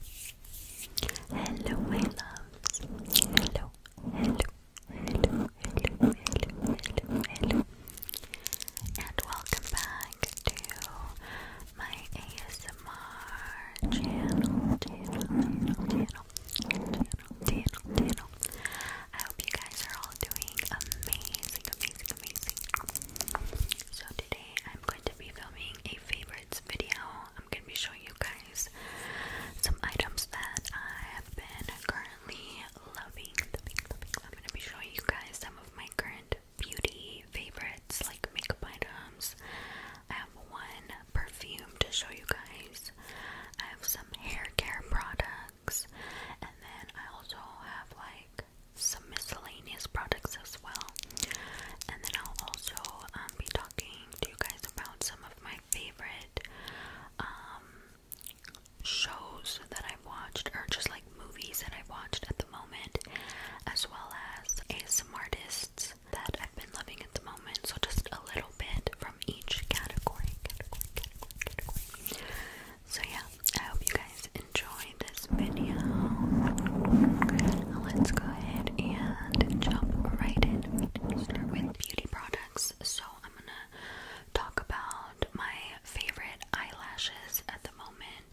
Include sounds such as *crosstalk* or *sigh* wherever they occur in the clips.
Hello, my loves. Hello, hello, hello, hello, hello, hello, hello. And welcome back to my ASMR channel, channel, channel, channel, channel, channel, I hope you guys are all doing amazing, amazing, amazing. So today I'm going to be filming a favorites video I'm going to be showing you guys some items that I have been currently loving. loving, loving. I'm going to be showing you guys some of my current beauty favorites, like makeup items. I have one perfume to show you guys. I have some hair care products, and then I also have like some miscellaneous products as well. And then I'll also um, be talking to you guys about some of my favorite um, shows that I've watched or just like movies that I've watched at the moment as well as ASM artists that I've been loving at the moment. So just a little bit from each category. So yeah, I hope you guys enjoy this video. Let's go ahead and and jump right in. start with beauty products. So I'm gonna talk about my favorite eyelashes at the moment.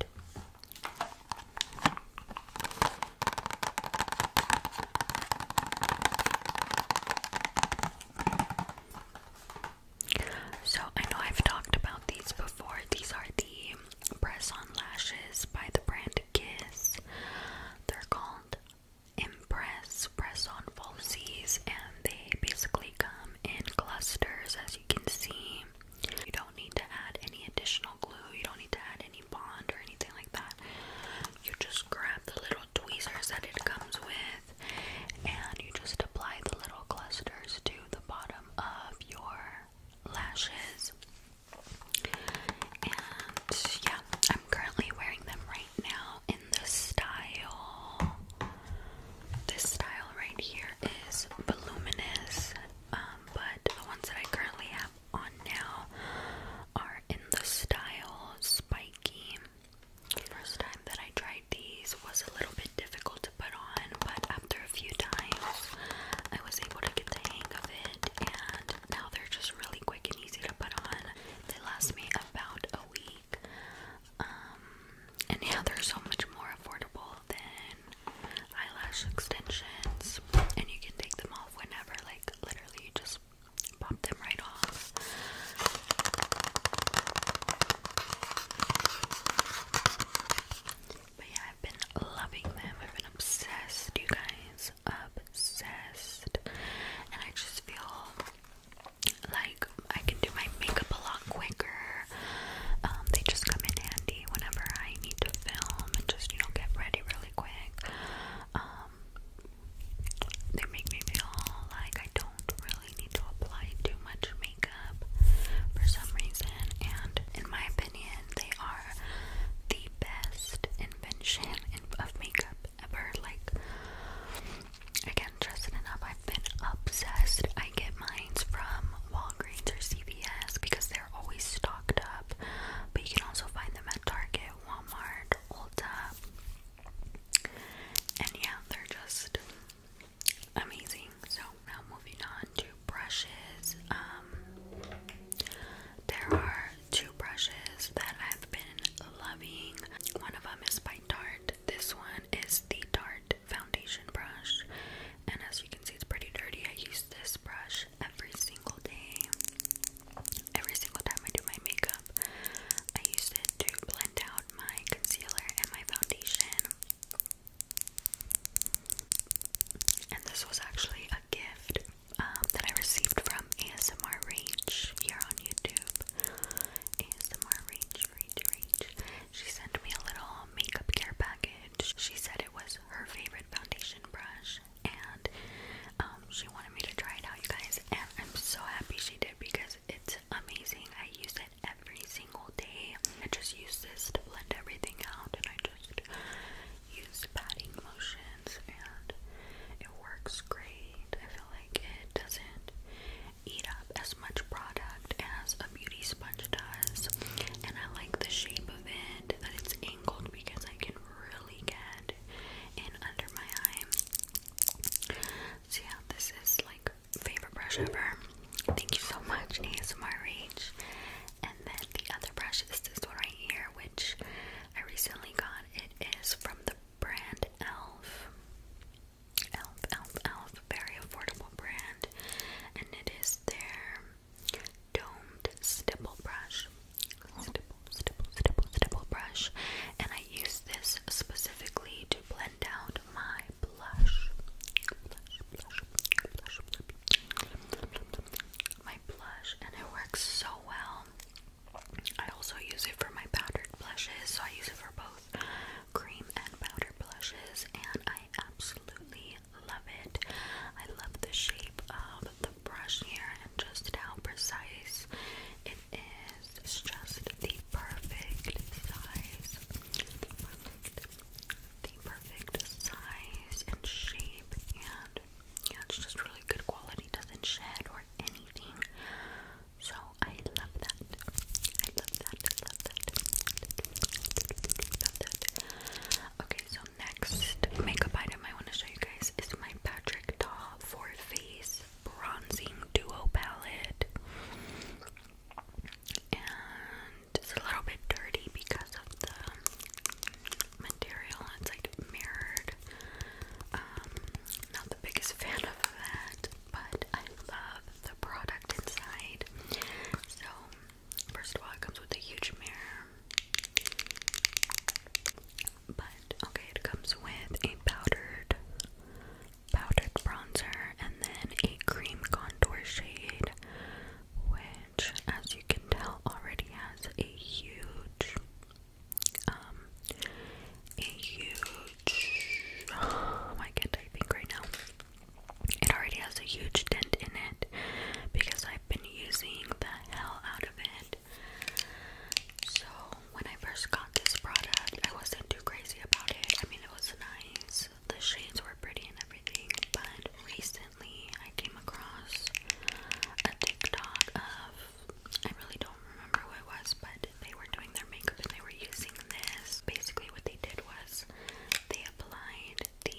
So I know I've talked about these before. These are the press on lashes by the brand and kiss. They're called Impress, press on falsies, and they basically come in clusters as you can see. You don't need to add any additional glue, you don't need to add any bond or anything like that. You just grab the little tweezers that it comes with and you just apply the little clusters to the bottom of your lashes. And yeah, I'm currently wearing them right now in the style. This style right here is voluminous, um, but the ones that I currently have on now are in the style spiky. The first time that I tried these was a little bit difficult to put on, but after a few times, I was able to get the hang of it, and now they're just really quick and easy to put on. They last me about a week. Um, and yeah, they're so much more affordable than eyelash extensions. And you can take them off whenever, like literally just pop them right off. But yeah, I've been loving them. I've been obsessed, you guys obsessed. And I just feel like I can do my makeup a lot quicker. Um, they just come in handy whenever I need to film and just, you know, get ready really quick. Um, they make me feel like I don't really need to apply too much makeup for some reason. And in my opinion, they are the best invention of makeup ever. Like, I can it enough. I've been obsessed. I get mine from Walgreens or CVS because they're always stocked up, but you can also find them at Target, Walmart, Ulta. And yeah, they're just amazing. So now moving on brushes. Um, there are two brushes that I've been loving. One of them is by Tarte. This one is the Tarte foundation brush, and as you can see, it's pretty dirty. I use this brush every single day. Every single time I do my makeup, I use it to blend out my concealer and my foundation. And this was actually a gift um, that I received from ASMR You're on YouTube. ASMR Rage, Rage, Rage. She sent me a little makeup care package. She said it was her favorite foundation brush, and um, she wanted me to try it out, you guys. And I'm so happy she did because it's amazing. I use it every single day. I just use this to blend everything out, and I just use patting motions and it works great. I feel like it doesn't eat up as much product as a beauty sponge does. And I like the shape of it that it's angled because I can really get in under my eye. So yeah, this is like favorite brush ever. Thank you so much, ASMR and then the other brush is this one right here, which I recently got. It is from the brand e.l.f. Elf, Elf, Elf, very affordable brand, and it is their domed stipple brush, stipple, stipple, stipple, stipple brush, and I use this specifically to blend out my blush, my blush and it works so well. I also use it for my powdered blushes, so I use it for both cream and powder blushes, and I absolutely love it. I love the shape of the brush here and just how precise it is. It's just the perfect size. the perfect size and shape and yeah, it's just really good quality, doesn't shed or anything. So I love that. I love that. I love that. Okay, so next makeup item I want to show you guys is my Patrick Ta Four Face Bronzing Duo Palette. And it's a little bit dirty because of the material. It's like mirrored. Um, not the biggest fan of that, but I love the product inside. So, first of all, it comes with a huge mirror. But okay, it comes with a powdered powdered bronzer and then a cream contour shade as you can tell, already has a huge, um, a huge. Oh, I can right now. It already has a huge dent in it because I've been using the hell out of it. So when I first got this product, I wasn't too crazy about it. I mean, it was nice. The shades were pretty and everything, but recently I came across a TikTok of I really don't remember who it was, but they were doing their makeup and they were using this. Basically, what they did was they applied the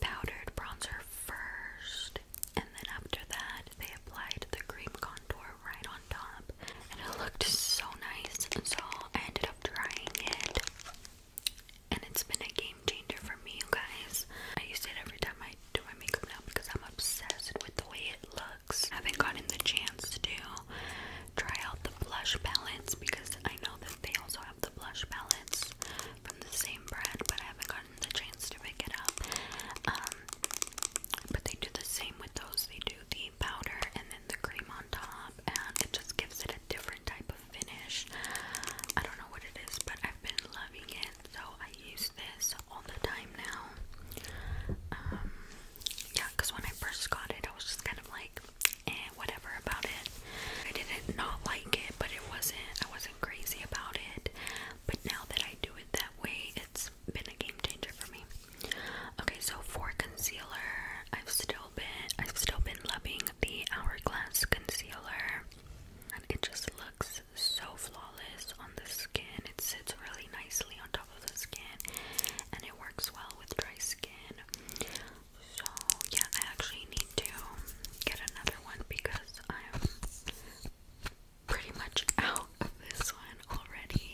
powdered bronzer first, and then after that, they applied the cream contour right on top, and it looked so nice. so I ended up trying it and it's been a game changer for me, you guys. I use it every time I do my makeup now because I'm obsessed with the way it looks. I haven't gotten the chance to try out the blush palettes because I know that they also have the blush palettes from the same brand, but I haven't gotten the chance to pick it up. Um, but they do the same with those. They do the powder and then the cream on top, and it just gives it a different type of finish. I don't know what it is, but I've been loving it, so I use this all the time now. Um, yeah, because when I first got it, I was just kind of like, and eh, whatever about it. I didn't not like it, but it wasn't, I wasn't crazy about it. But now that I do it that way, it's been a game changer for me. Okay, so for concealer, I've still been, I've still been loving the Hourglass concealer and it just looks so flawless on the skin. It sits really nicely on top of the skin and it works well with dry skin. So, yeah, I actually need to get another one because I'm pretty much out of this one already.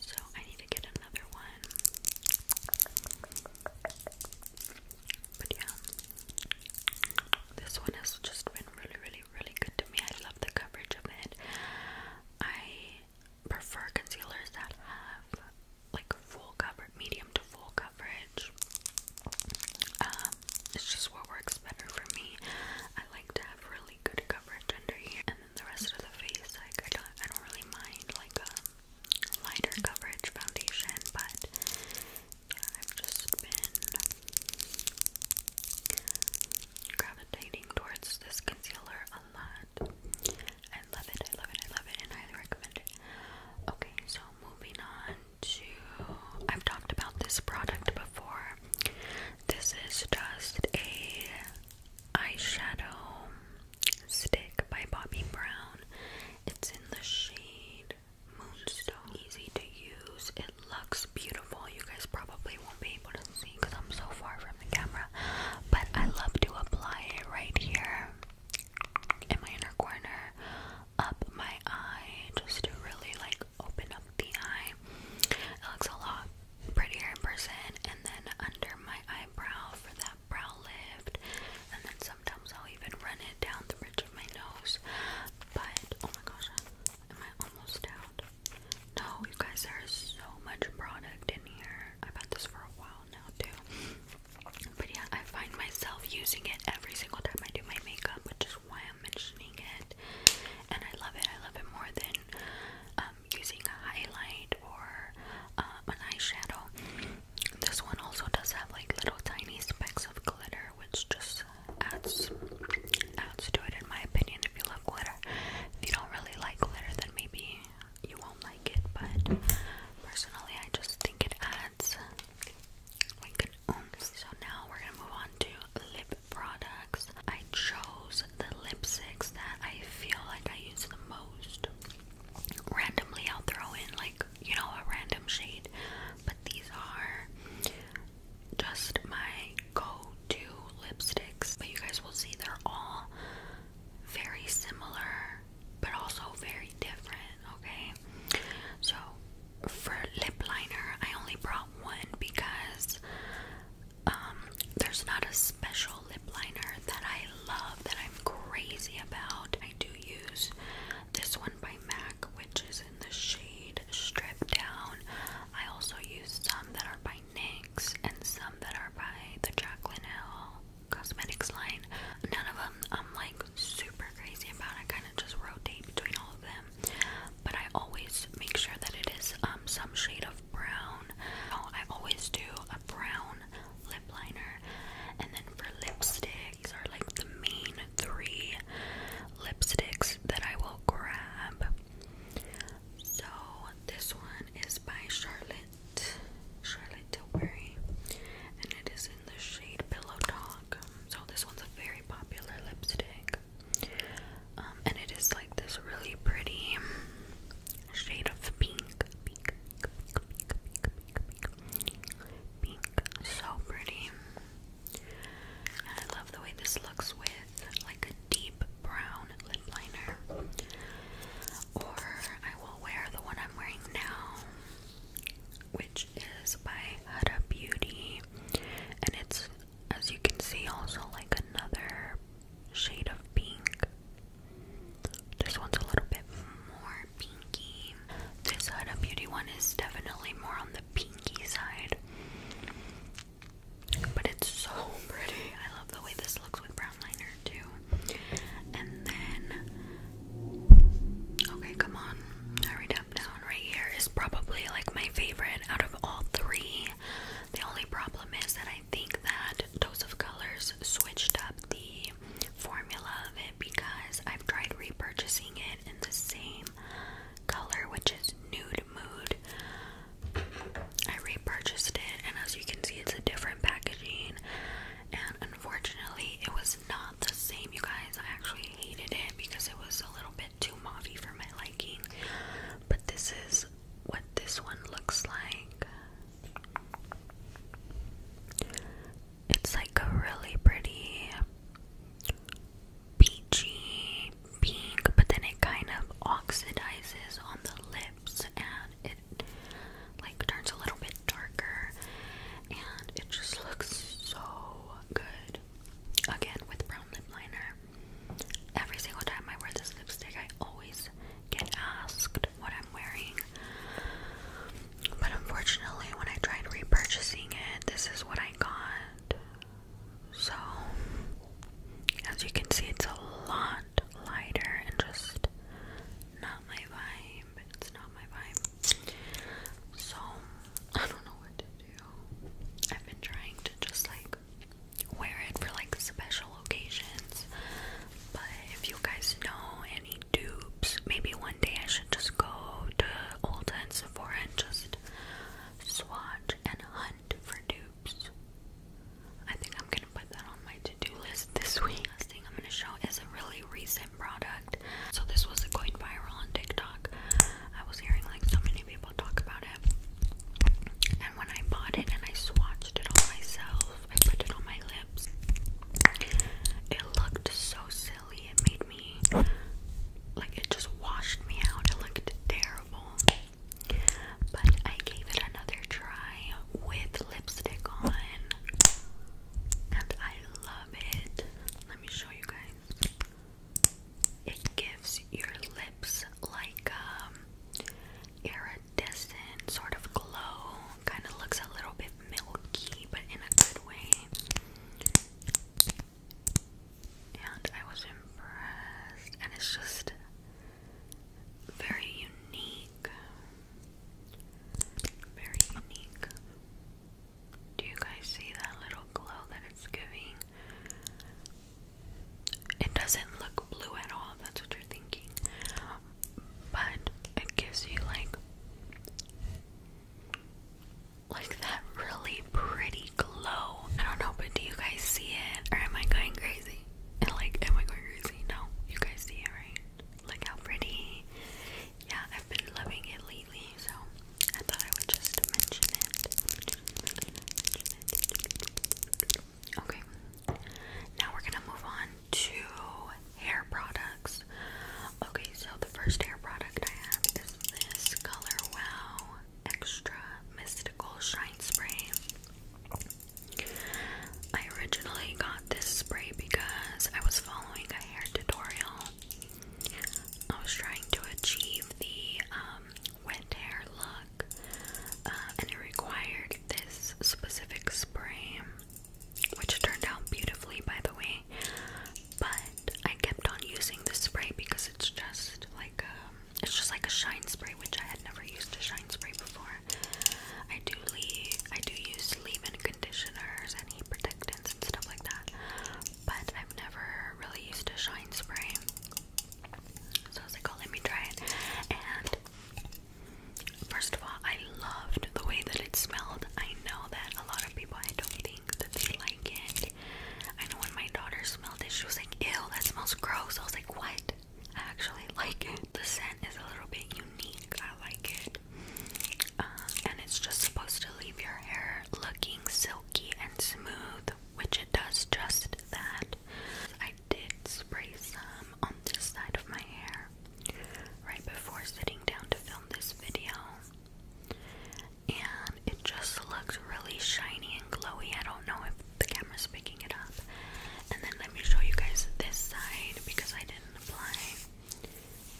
So, I need to get another one. But yeah, this one has just been really, really, really good to me. I love the coverage of it. I prefer concealers that have like full coverage, medium to full coverage. Um, it's just what works better for me. I like to have really good coverage under here, and then the rest of the face, like I don't, I don't really mind like a um, lighter coverage foundation, but I've just been gravitating towards this concealer a lot. I love it, I love it, I love it, and I highly recommend it. Okay, so moving on to I've talked about this product before. This is just a eyeshadow stick by Bobbi Brown. It's in the shade moonstone. Easy to use. It looks beautiful. You guys probably won't be able to see because I'm so far from the camera. But I love to apply it right here in my inner corner, up my eye, just to really like open up the eye. It looks a lot prettier in person. And then under my eyebrow for that brow lift and then sometimes I'll even run it down the bridge of my nose. But oh my gosh, am I almost out? No, you guys, there is so much product in here. I've had this for a while now too. But yeah, I find myself using it every single time I do my makeup, which is why I'm mentioning it. And I love it. I love it more than um, using a highlight or uh, an eyeshadow. This one also does have like little tiny specks of glitter, which just adds adds to it, in my opinion. If you love glitter, if you don't really like glitter, then maybe you won't like it. But personally, I just think it adds So now we're gonna move on to lip products. I chose the lipsticks that I feel like I use the most. Randomly, I'll throw in like you know, a random shade, but these are just my go-to lipsticks. But you guys will see they're all very similar, but also very different, okay? So, for lip liner, I only brought one because um, there's not a special lip liner that I love, that I'm crazy about. I do use this one by MAC, which is in the shade Strip Down. I also use some that are by NYX and some that are by the Jaclyn Hill cosmetics line. None of them I'm like super crazy about. I kind of just rotate between all of them. But I always make sure that it is um, some shade of brown. Oh, I always do a brown lip liner and then for lipstick. are like the main three lipsticks that I will grab. So this one is by Charlotte Charlotte Tilbury and it is in the shade Pillow Talk. So this one's a very popular lipstick. and it is like this really pretty shade of pink pink. So pretty. And I love the way this looks with like a deep brown lip liner. Or I will wear the one I'm wearing now, which is by Huda Beauty. And it's, as you can see, also like another shade of pink. This one's a little bit more pinky. This Huda Beauty one is definitely more on the pinky side. But it's so pretty. I love the way this looks with brown liner too. And then okay, come on. Hurry up down right here is probably like my favorite out of all three. The only problem is that I think that Dose of Colors switched up the formula of it because I've tried repurchasing it in the same color, which is Nude Mood. I repurchased it, and as you can see, it's a different packaging. And unfortunately, it was not the same, you guys. I actually hated it because it was a little bit too mauvey for my liking. But this is what this one looks like. It's like a really pretty peachy pink, but then it kind of oxidizes on the lips and it like turns a little bit darker and it just looks so good. Again, with brown lip liner. Every single time I wear this lipstick, I always get asked what I'm wearing. But unfortunately, when I tried repurchasing it, this is what I got. So, as you can see, it's a lot lighter and just not my vibe. It's not my vibe. So, I don't know what to do. I've been trying to just like wear it for like special occasions. But if you guys know dupes. Maybe one day I should just go to Ulta and Sephora and just swatch and hunt for dupes. I think I'm gonna put that on my to-do list this *laughs* week. Last thing I'm gonna show is a really recent product. So this was going viral on TikTok. I was hearing like so many people talk about it. And when I bought it and I swatched it on myself, I put it on my lips. It looked so silly. It made me like it just washed me out. It looked terrible. But I gave it another try with lipstick on. And I love it. Let me show you guys. It gives your lips like um iridescent sort of glow. Kind of looks a little bit milky, but in a good way and I was impressed, and it's just very unique. Very unique. Do you guys see that little glow that it's giving? It doesn't look blue at all, that's what you're thinking. But it gives you like like that really pretty glow. I don't know, but do you guys see it? Or am I going crazy? And like, am I going crazy? No, you guys see it, right? Look how pretty. Yeah, I've been loving it lately, so I thought I would just mention it. Okay, now we're gonna move on to hair products. Okay, so the first hair product I have is this Color Wow Extra Mystical Shine Spray. I originally got this spray because I was following a hair tutorial. I was trying to achieve the um, wet hair look, uh, and it required this specific spray, which turned out beautifully, by the way. But I kept on using the spray because it's just like um it's just like a shine spray which I had never used a shine spray before. I do leave I do use leave-in conditioners and heat protectants and stuff like that. But I've never really used a shine spray. So I was like, oh let me try it. And First of all, I loved the way that it smelled. I know that a lot of people I don't think that's like it. I know when my daughter smelled it, she was like, ew, that smells gross. I was like, what? I actually *laughs* like it. The scent is a little bit unique. I like it. Um, and it's just supposed to leave your hair looking silky and smooth, which it does just that. I did spray some on this side of my hair right before sitting down to film this video and it just looks really shiny and glowy. I don't know if the camera's picking it up. And then let me show you guys this side because I didn't apply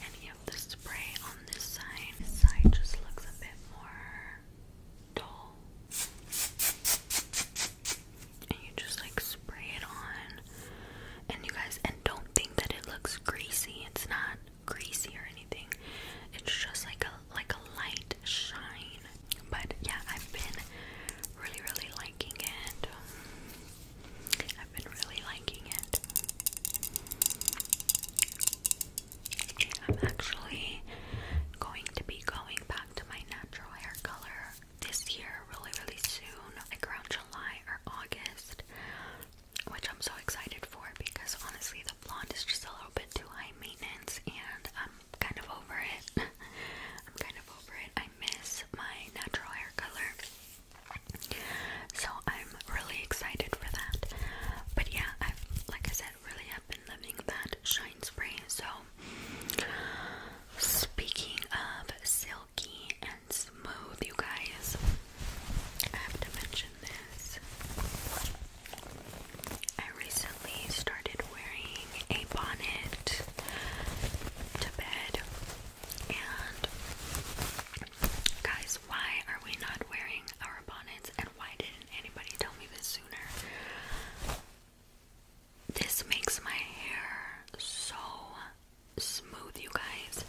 any of the spray on this side. This side just looks a bit more dull. And you just like spray it on. And you guys, and don't think that it looks greasy. It's not greasy or anything. It's just like a like a light shine. But yeah, I've been really really liking it. I've been really liking it. I'm actually going to be going back to my natural hair color this year really really soon, like around July or August which I'm so excited for because honestly, the blonde is just a little bit too high maintenance, and I'm kind of over it. *laughs* I'm kind of over it. I miss my natural hair color. So I'm really excited for that. But yeah, I've like I said, really have been loving that shine spray. So speaking of silky smooth, you guys. I have to mention this. I recently started wearing a bonnet to bed, and guys, why are we not wearing our bonnets? And why didn't anybody tell me this sooner? This makes my hair so smooth with you guys.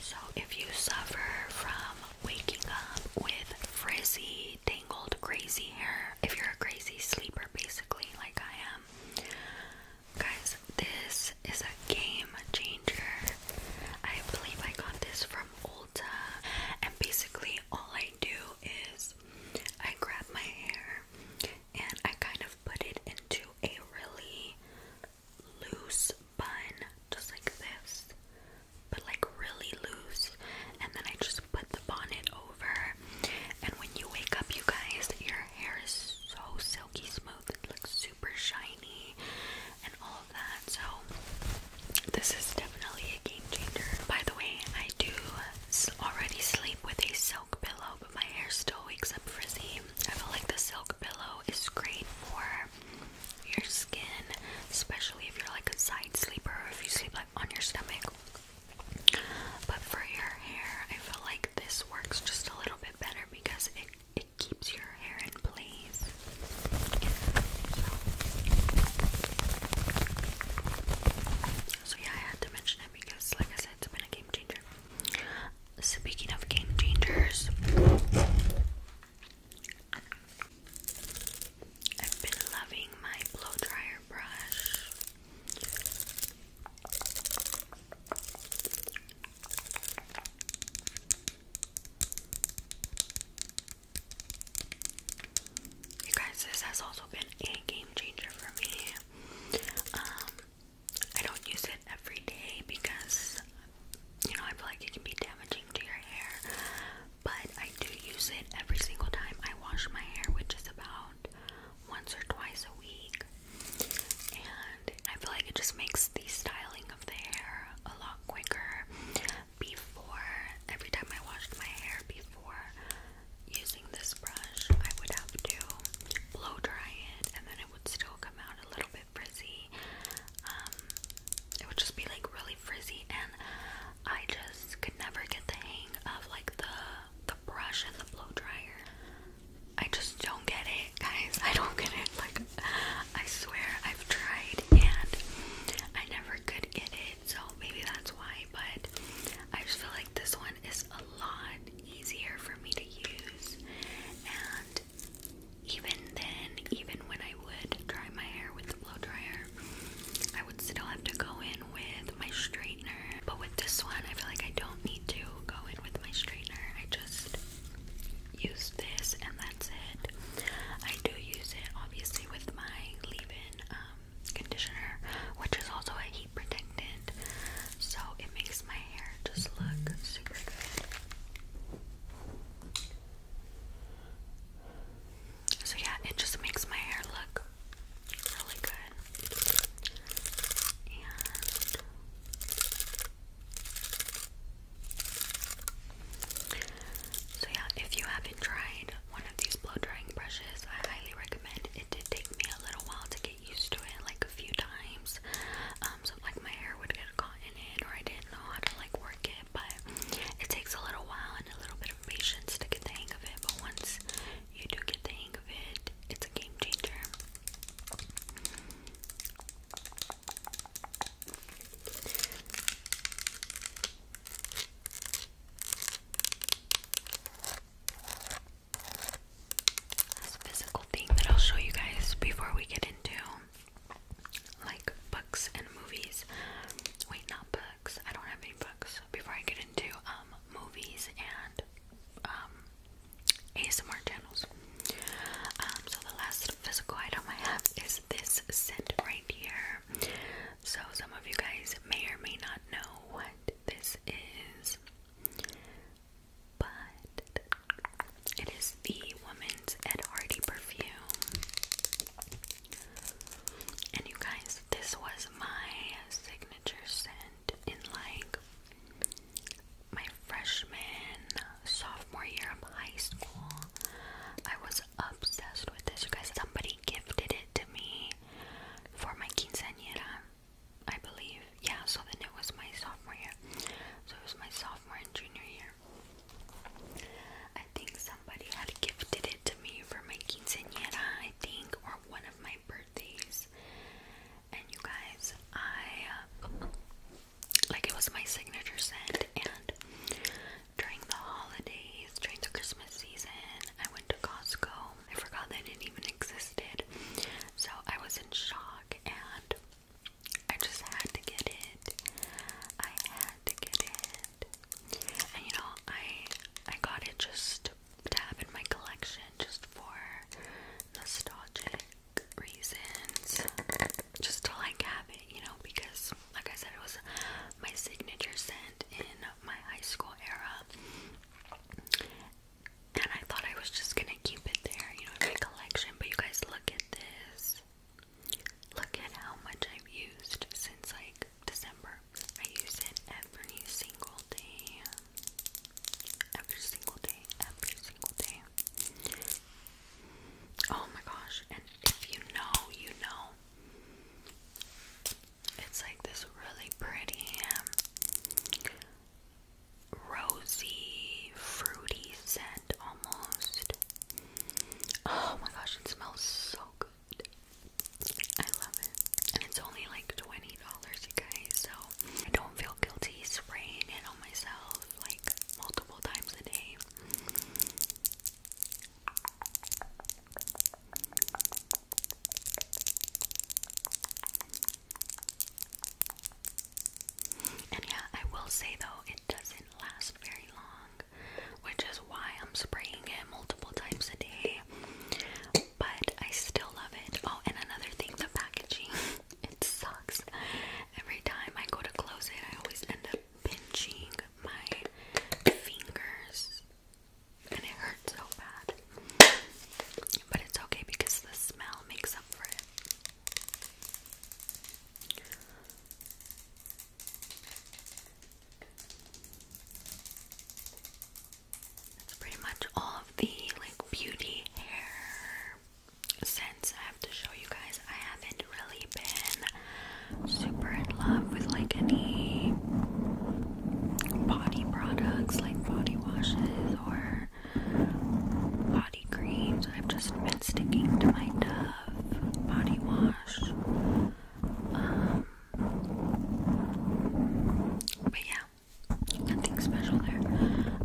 So if you suffer from waking up with frizzy, tangled, crazy hair, if you're a crazy sleeper basically like I am, guys, this is a game changer. I believe I got this from Ulta and basically all I do is I grab my hair and I kind of put it into a really loose bun, just like this, but like really loose. And then I just put the bonnet over. And when you wake up, you guys, your hair is so silky smooth. It looks super shiny and all of that. So, this is definitely a game changer. By the way, I do already sleep with a silk pillow, but my hair still wakes up frizzy. I feel like the silk pillow is great for your skin, especially if you're like a side sleeper, or if you sleep like on your stomach. But for your hair, I feel like this works just a little bit better because it it keeps your hair in place. So, yeah, I had to mention it because, like I said, it's been a game changer. Speaking of game changers, I've been loving my blow dryer brush. You guys, this has also been a game changer for me. Um, I don't use it every day because you know, I feel like it can be damaging to your hair, but I do use it every single time I wash my hair, which is about once or twice a week. And I feel like it just makes the styling of the hair a lot quicker before every time I washed my hair before using this brush I would have to blow dry it and then it would still come out a little bit frizzy. Um, it would just be like really frizzy, and I just could never get the hang of like the the brush and the blow dryer. I just don't get it, guys. *laughs* I don't get it. Like, I swear I've tried and I never could get it. So maybe that's why. But I just feel like this one is a lot easier for me to use, and even then, even when I would dry my hair with the blow dryer, I would still have to go in with my straightener. But with this one, I feel like I don't need to go in with my straightener. I just use this and that's it. I do use it obviously with my leave-in um, conditioner, which is also a heat protectant, so it makes my hair just look super good. So yeah, it just makes my hair look really good. so yeah, if you haven't tried one of these blow drying brushes, I highly recommend. It did take me a little while to get used to it, like a few times. Um, like my hair would get caught in it, or I didn't know how to like work it. But it takes a little while and a little bit of patience to get the hang of it. But once you do get the hang of it, it's a game changer. physical thing that I'll show you guys before we get into like books and movies. Wait, not books. I don't have any books. Before I get into um, movies and um, ASMR channels. Um, so the last physical item I have is this scent right here. So some of you guys may or may not know what this is, but it is the Woman's Ed Hardy perfume. And you guys, this was my signature scent in like my freshman, sophomore year of high school. I was obsessed with this. You guys, somebody gifted it to me for my quinceañera, I believe. Yeah, so then it was my sophomore year. So it was my sophomore and junior year. I think somebody had gifted it to me for my quinceañera, I think, or one of my birthdays. And you guys, I uh, like it was my signature scent. And during the holidays, during the Christmas season, I went to Costco. I forgot that it even existed, so I was in shock. And I just had to get it. I had to get it. And you know, I I got it just to have in my collection just for nostalgic reasons. Just to like have it, you know, because like I said it was my signature scent in my high school era. And I thought I was just gonna keep it there, you know, in my collection. But you guys look at this. Look at how much I've used since like December. I use it every single day. Every single day. Every single day. Oh my gosh. And if you know, you know. It's like this really pretty, um, rosy, fruity scent almost. Oh my gosh, it smells so good. I love it. And it's only like $20, you guys, so I don't feel guilty spraying it on myself like multiple times a day. And yeah, I will say though, it doesn't last very long, which is why I'm spraying it multiple times a day. But I still love it. Oh, and another thing, the packaging. *laughs* it sucks. Every time I go to close it, I always end up pinching my fingers. And it hurts so bad. But it's okay because the smell makes up for it pretty much all of the like beauty hair scents I have to show you guys. I haven't really been super in love with like any body products like body washes or creams. I've just been sticking to my Dove body wash. Um, but yeah, nothing special there.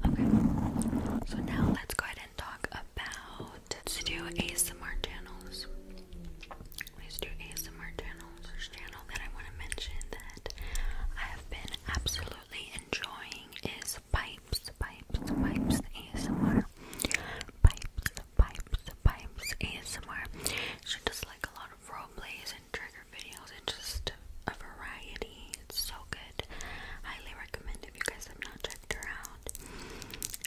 Okay, so now let's go ahead and talk about let ASMR channels. let do ASMR channels. First channel that I want to mention that I have been absolutely enjoying is by pipes, pipes, pipes ASMR. Pipes, pipes, pipes ASMR. She does like a lot of role plays and trigger videos and just a variety. It's so good. Highly recommend if you guys have not checked her out.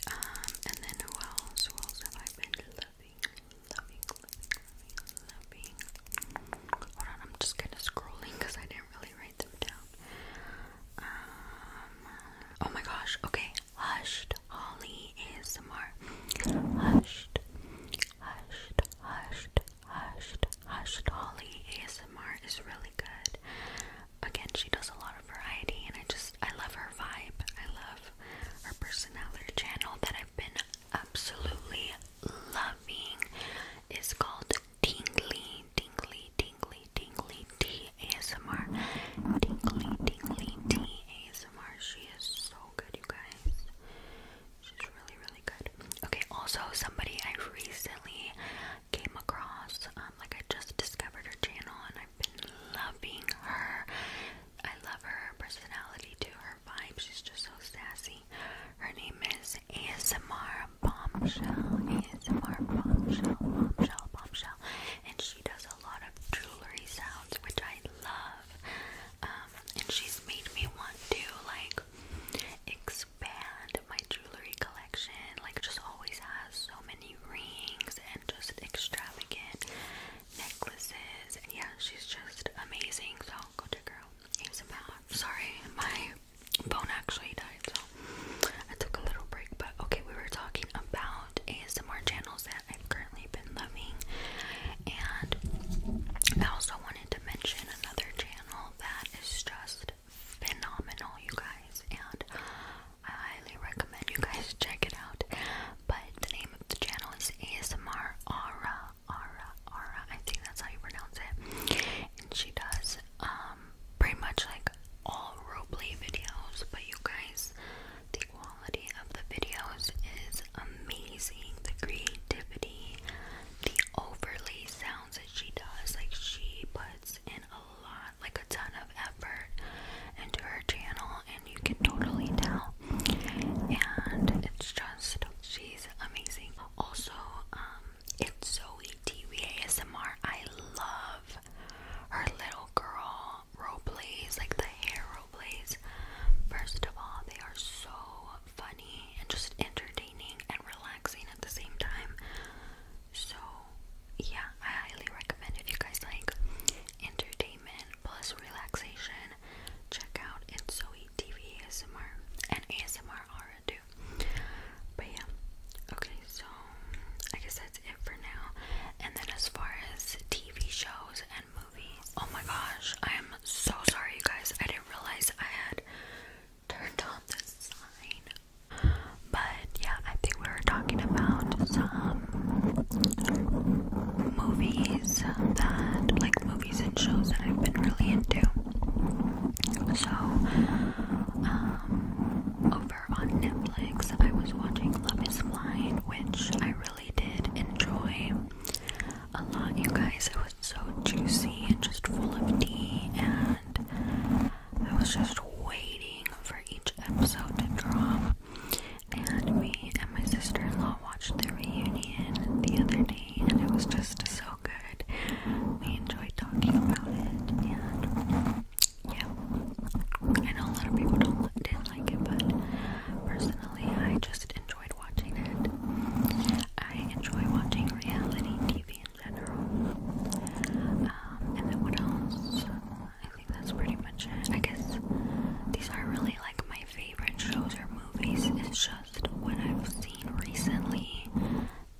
Um, and then who else? have I been loving? Loving, loving, loving, Hold on, I'm just kind of scrolling because I didn't really write them down. Um, oh my gosh, okay. Hushed Holly ASMR. Hushed, hushed, hushed, hushed, hushed Holly ASMR is really good. Again, she does a lot of variety, and I just I love her vibe. I love her personality channel that I've been absolutely loving. Is called Tingly, Tingly, tingly, tingly tea ASMR. Tingly, tingly tea ASMR. She is so good, you guys. She's really, really good. Okay, also, somebody I recently came across, um, like, I just discovered her channel and I've been loving her. I love her personality to her vibe. She's just so sassy. Her name is ASMR Bombshell, ASMR Bombshell, Bombshell, Bombshell, and she does a lot of jewelry sounds, which I love. Um, and she's made me want to like expand my jewelry collection. Like, just always has so many rings and just extravagant necklaces. And yeah, she's just amazing. So go check her out. ASMR. Sorry, my phone actually died. So I took a little break, but okay, we were talking about ASMR channels that I've currently been loving, and I also wanted to mention another channel that is just phenomenal, you guys, and I highly recommend you guys check it out. But the name of the channel is ASMR Aura, Aura, Aura. I think that's how you pronounce it, and she does um pretty much like all roleplay videos, but you guys, the quality of the videos is amazing. The creativity, the overlay sounds that she does, like she puts in a lot, like a ton of effort into her channel, and you can totally tell. And it's just, she's amazing. Also, um, it's Zoe TV ASMR. I love her little girl role plays, like the hair role plays. First of all, they are so funny and just entertaining and relaxing at the same time. So, yeah, I highly recommend if you guys like entertainment plus relaxation, check out It's So TV ASMR and ASMR Aura too. But yeah. Okay, so I guess that's it for now. And then as far as TV shows and movies, oh my gosh, I am so sorry, you guys. I didn't realize I had turned on the sign. But yeah, I think we were talking about some movies that, like movies and shows that I've been really into. So, um, over on Netflix I was watching Love is Flying, which I really did enjoy a lot, you guys. It was so juicy and just full of tea, and I was just waiting for each episode to drop. And me and my sister in law watched the reunion the other day, and it was just so good. We enjoyed talking about it, yeah, I a lot of people don't didn't like it, but personally, I just enjoyed watching it. I enjoy watching reality TV in general. Um, and then what else? I think that's pretty much it. I guess these are really like my favorite shows or movies. It's just what I've seen recently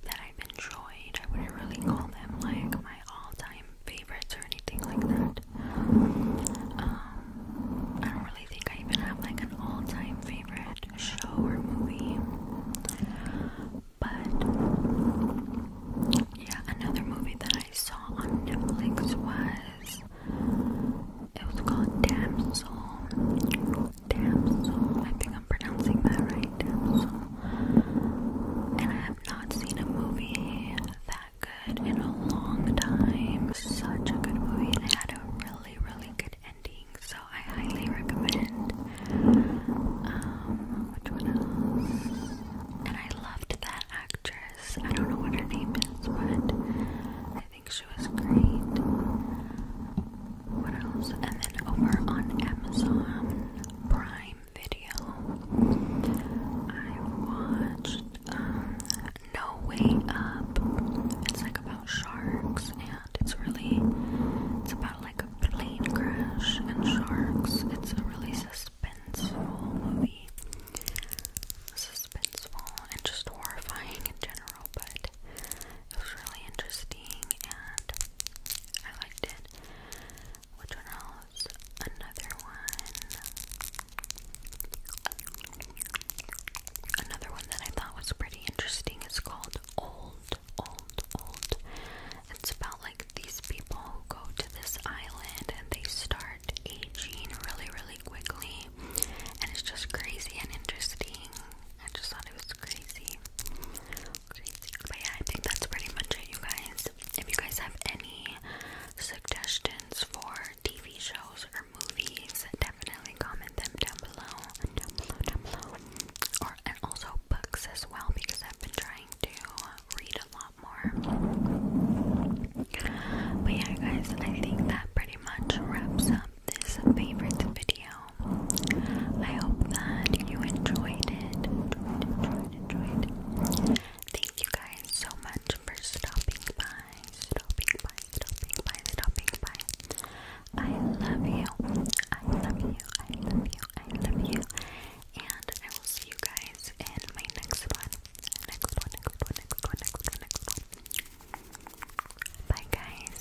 that I've enjoyed. I wouldn't really call them like my all-time favorites or anything like that. Um, I don't really think I even have like an all-time favorite show or movie. But yeah, another movie that I saw on Netflix was it was called Damsel. Damsel. I think I'm pronouncing that right. And I not seen a movie that good in a long time. Such a good movie, and had a really, really good ending. So I highly recommend. Um, which one else? And I loved that actress. I don't know what her name is, but I think she was great. What else? And then over on Amazon Prime video, I watched um, No Way Up. It's like about sharks, and it's really it's about like a plane crash and sharks. It's a really suspenseful movie, suspenseful and just horrifying in general. But it was really interesting, and I liked it. Which one else? Another one. Another one that I thought was pretty interesting is called Old, Old, Old. It's about like these people who go to this island and they start aging really, really quickly. And it's just crazy and interesting. I just thought it was crazy. But yeah, I think that's pretty much it, you guys. If you guys have any suggestions for TV shows or movies, definitely comment them down below. Or and also books as well because I've been trying to read a lot more. But yeah, guys, I think that pretty much wraps up this favorite video. I hope that you enjoyed it. Thank you guys so much for stopping by, stopping by, stopping by, stopping by. I love you. I love you. I love you. I love you. And I will see you guys in my next one. Next one, next one, next one, next one, next one. Bye guys.